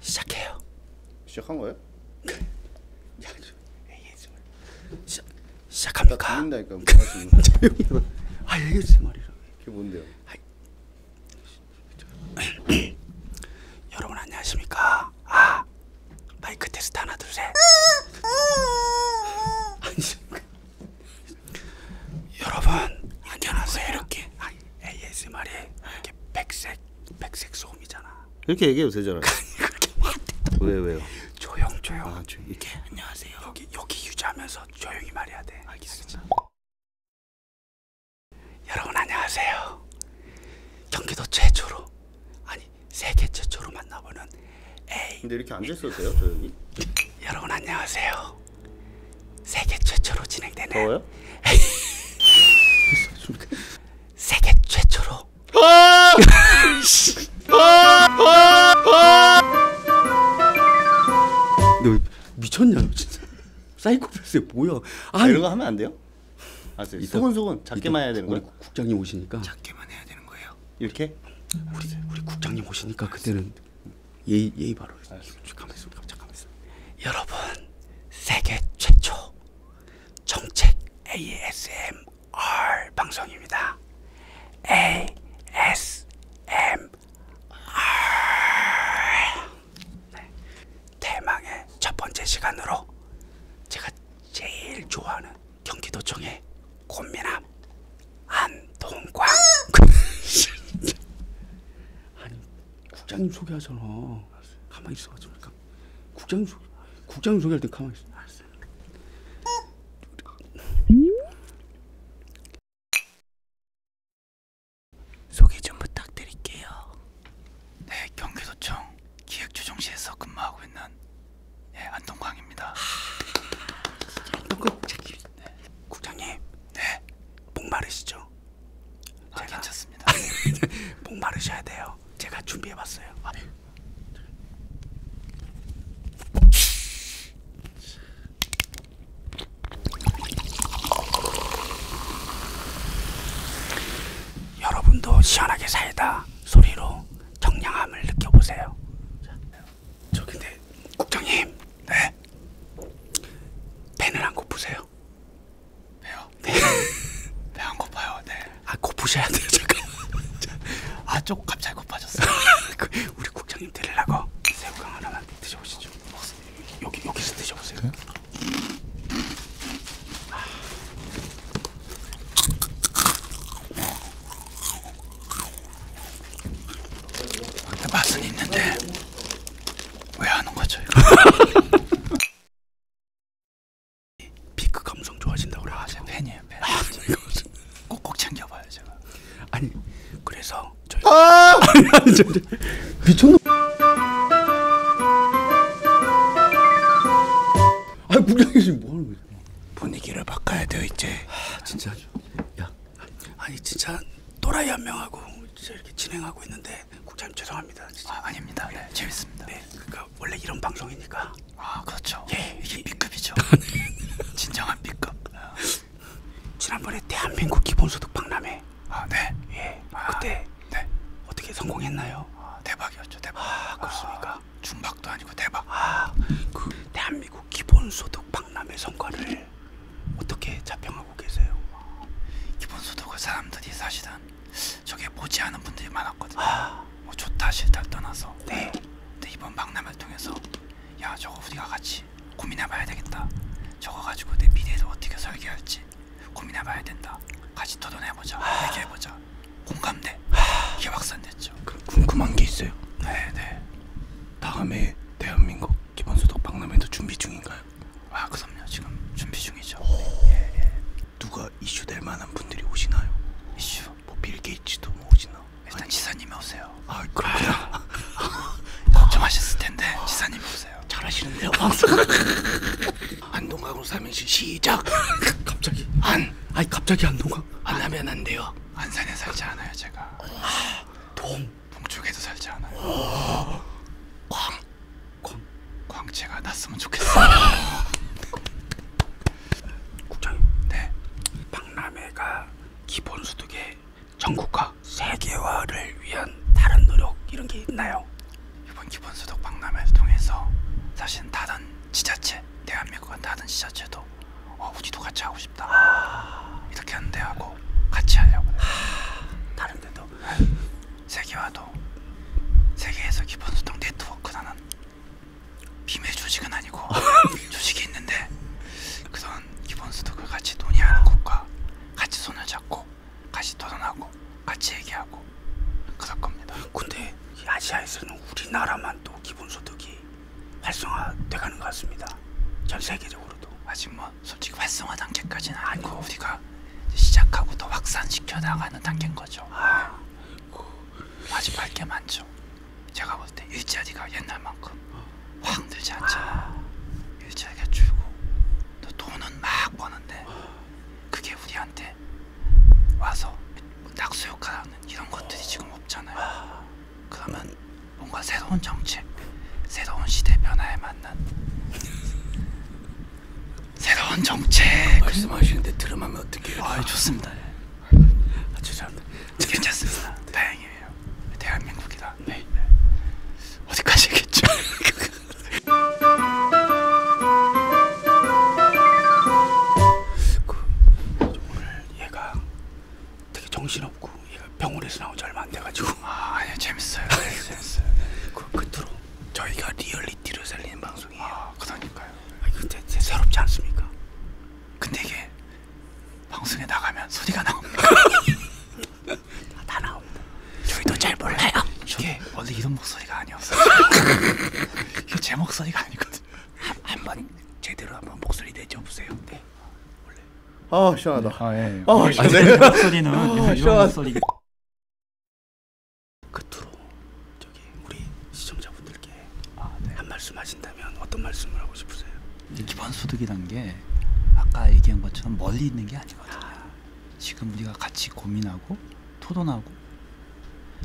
시작해요. 시작한 거예요? 그, 야, ASMR. 시작 시작합니까? 듣는다니까. 뭐 하시는 거예요? 조용히 해봐. 아, ASMR이라. 그게 뭔데요? 아이, 여러분 안녕하십니까? 아 마이크 테스트 하나 둘 셋. 여러분 안녕하세요. 이렇게 아, ASMR이 이렇게 백색 백색 소음이잖아. 이렇게 얘기해도 되잖아. 왜 왜요? 조용 조용. 아, 조용. 이렇게 안녕하세요. 여기 여기 유지하면서 조용히 말해야 돼. 알겠습니다. 여러분 안녕하세요. 경기도 최초로 아니 세계 최초로 만나보는 A. 근데 이렇게 앉아 있어도 돼요, 조용히? 여러분 안녕하세요. 세계 최초로 진행되는 더워요? 세계 최초로. 아! 너 미쳤냐 진짜 사이코패스 뭐야 아, 아 이런 거 하면 안 돼요? 알았어요. 소근소근 작게만 해야 되는 거예요? 우리 국장님 오시니까 작게만 해야 되는 거예요. 이렇게? 우리 우리 국장님 오시니까 그때는 예의 예의 바로. 잠깐만 있어. 잠깐만 있어. 여러분 세계 최초 정책 ASMR 방송입니다. ASMR 네. 대망의 첫 번째 시간으로 제가 제일 좋아하는 경기도청의 곤미남 안동광 아니 국장님 소개하잖아 가만히 있어 잠깐 국장님 소개 국장님 소개할 때 가만히 있어 소개 좀 부탁드릴게요. 네, 경기도청 기획조정실에서 근무하고 있는 예, 안동광입니다. 안동광 아, 네. 국장님. 네. 목마르시죠? 아, 제가... 괜찮습니다. 목마르셔야 돼요. 제가 준비해봤어요. 아, 네. 여러분도 시원하게 사이다 소리로 정량함을 느껴보세요. 저 근데 국장님, 네, 펜을 안 고프세요? 배요? 네, 배안 고파요. 네. 아 고프셔야 돼요. 잠깐. 아쪽 갑자기 고파졌어요. 그 우리 국장님 드리려고 새우깡 하나만 드셔보시죠. 먹었어. 여기 여기서 드셔보세요. 네? 아, 맛은 있는데 왜 하는 거죠? 피크 감성 좋아진다고 그래. 아, 제가 팬이에요. 팬. 아, 꼭꼭 챙겨봐요 제가. 아니 그래서 저희. 아! 아니, 아니, 미쳤나? 아 국장이 지금 뭐 하는 거지? 분위기를 바꿔야 돼요 이제. 아, 진짜. 야, 아니 진짜 또라이 한 명하고 진짜 이렇게 진행하고 있는데 국장님 죄송합니다. 진짜. 아, 아닙니다. 네, 재밌습니다. 네, 그러니까 원래 이런 방송이니까. 아 그렇죠. 예, 이게 B급이죠. 진정한 B급. 지난번에 대한민국 기본소득 박람회 아, 네. 예. 아, 그때 네. 네. 어떻게 성공했나요? 아, 대박이었죠. 대박. 아, 아 그렇습니까? 아, 중박도 아니고 대박. 아, 그 대한민국 기본소득 박람회 성과를 어떻게 자평하고 계세요? 기본소득을 사람들이 사실은 저게 보지 않은 분들이 많았거든요. 아, 뭐 좋다 싫다 떠나서. 네. 근데 이번 박람회를 통해서 야 저거 우리가 같이 고민해봐야 되겠다. 저거 가지고 내 미래를 어떻게 설계할지 있을지 고민해봐야 된다. 같이 토론해보자. 하... 얘기해보자. 공감대. 하... 이게 확산됐죠. 그 궁금한 게 있어요. 네네. 네. 다음에 대한민국 기본소득 박람회도 준비 중인가요? 아 그럼요. 지금 준비 중이죠. 오... 예, 예. 누가 이슈 될 만한 분들이 오시나요? 이슈? 뭐 빌게이츠도 뭐 오시나? 일단 아니... 지사님이 오세요. 아 그렇구나. 걱정하셨을 텐데 지사님이 오세요. 해주세요. 잘하시는데요. 안동강으로 삼행시 시작. 갑자기 안. 아니 갑자기 안동강. 안 하면 안 돼요. 안산에 살지 않아요 제가. 동. 동쪽에도 살지 않아요. 광. 광. 광채가 났으면 좋겠어요. 국장님. 네. 박람회가 기본 소득의 전국화 세계화를 위한 다른 노력 이런 게 있나요? 이번 기본소득 박람회를 통해서 사실 다른 지자체 대한민국은 다른 지자체도 어, 우리도 같이 하고 싶다 아... 이렇게 하는데 하고 같이 하려고 그래요. 아... 다른 데도 네. 세계화도 세계에서 기본소득 네트워크라는 비밀 조직은 아니고 조직이 있는데 그런 기본소득을 같이 논의하는 것과 같이 손을 잡고 같이 도전하고 같이 얘기하고 그럴 겁니다. 근데 아시아에서는 우리나라만 또 기본소득이 활성화돼가는 것 같습니다. 전 세계적으로도 아직 뭐 솔직히 활성화 단계까지는 아니고 아이고. 우리가 시작하고 더 확산시켜 나가는 단계인 거죠. 아, 그... 아직 밝게 많죠. 제가 볼 때 일자리가 옛날만큼 어. 확 늘지 않잖아. 아... 일자리가 줄고 또 돈은 막 버는데. 아. 그게 우리한테 와서 낙수효과라는 이런 것들이 지금 없잖아요. 아. 그러면 뭔가 새로운 정책, 새로운 시대 변화에 맞는 새로운 정책 말씀하시는데 드럼하면 어떻게 아, 좋습니다. 예. 아, 죄송합니다. 괜찮습니다. 다행이에요. 대한민국이다. 네. 네. 어디까지겠죠? 그, 정신없고 얘가 병원에서 나온 지 얼마 안 돼가지고 아 아니, 예, 재밌어요 예, 재밌어요 예. 그, 끝으로 저희가 리얼리티를 살리는 방송이에요 아 그러니까요 아니, 근데 새롭지 않습니까? 근데 이게 방송에 나가면 소리가 나옵니다 다, 다 나옵니다 저희도 잘 몰라요. 이게 예. 원래 이런 목소리가 아니었어요. 이게 제 목소리가 아니거든. 한번 제대로 한번 목소리 내줘 보세요. 네. 아 시원하다. 아 예. 아, 아 시원해. 아, 목소리는 아, 이런 목소리. 끝으로 저기 우리 시청자분들께 아, 네. 한 말씀 하신다면 어떤 말씀을 하고 싶으세요? 기본 소득이란 게 아까 얘기한 것처럼 멀리 있는 게 아니거든요. 아. 지금 우리가 같이 고민하고 토론하고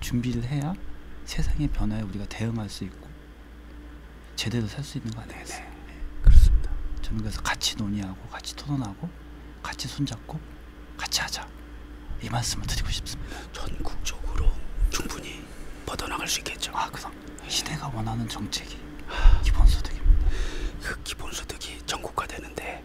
준비를 해야 세상의 변화에 우리가 대응할 수 있고 제대로 살 수 있는 거 아니겠어요? 네네. 네. 그렇습니다. 저는 그래서 같이 논의하고 같이 토론하고 같이 손잡고 같이 하자 이 말씀을 드리고 싶습니다. 전국적으로 충분히 뻗어나갈 수 있겠죠. 아 그럼 네. 시대가 원하는 정책이 하... 기본소득입니다. 그 기본소득이 전국화 되는데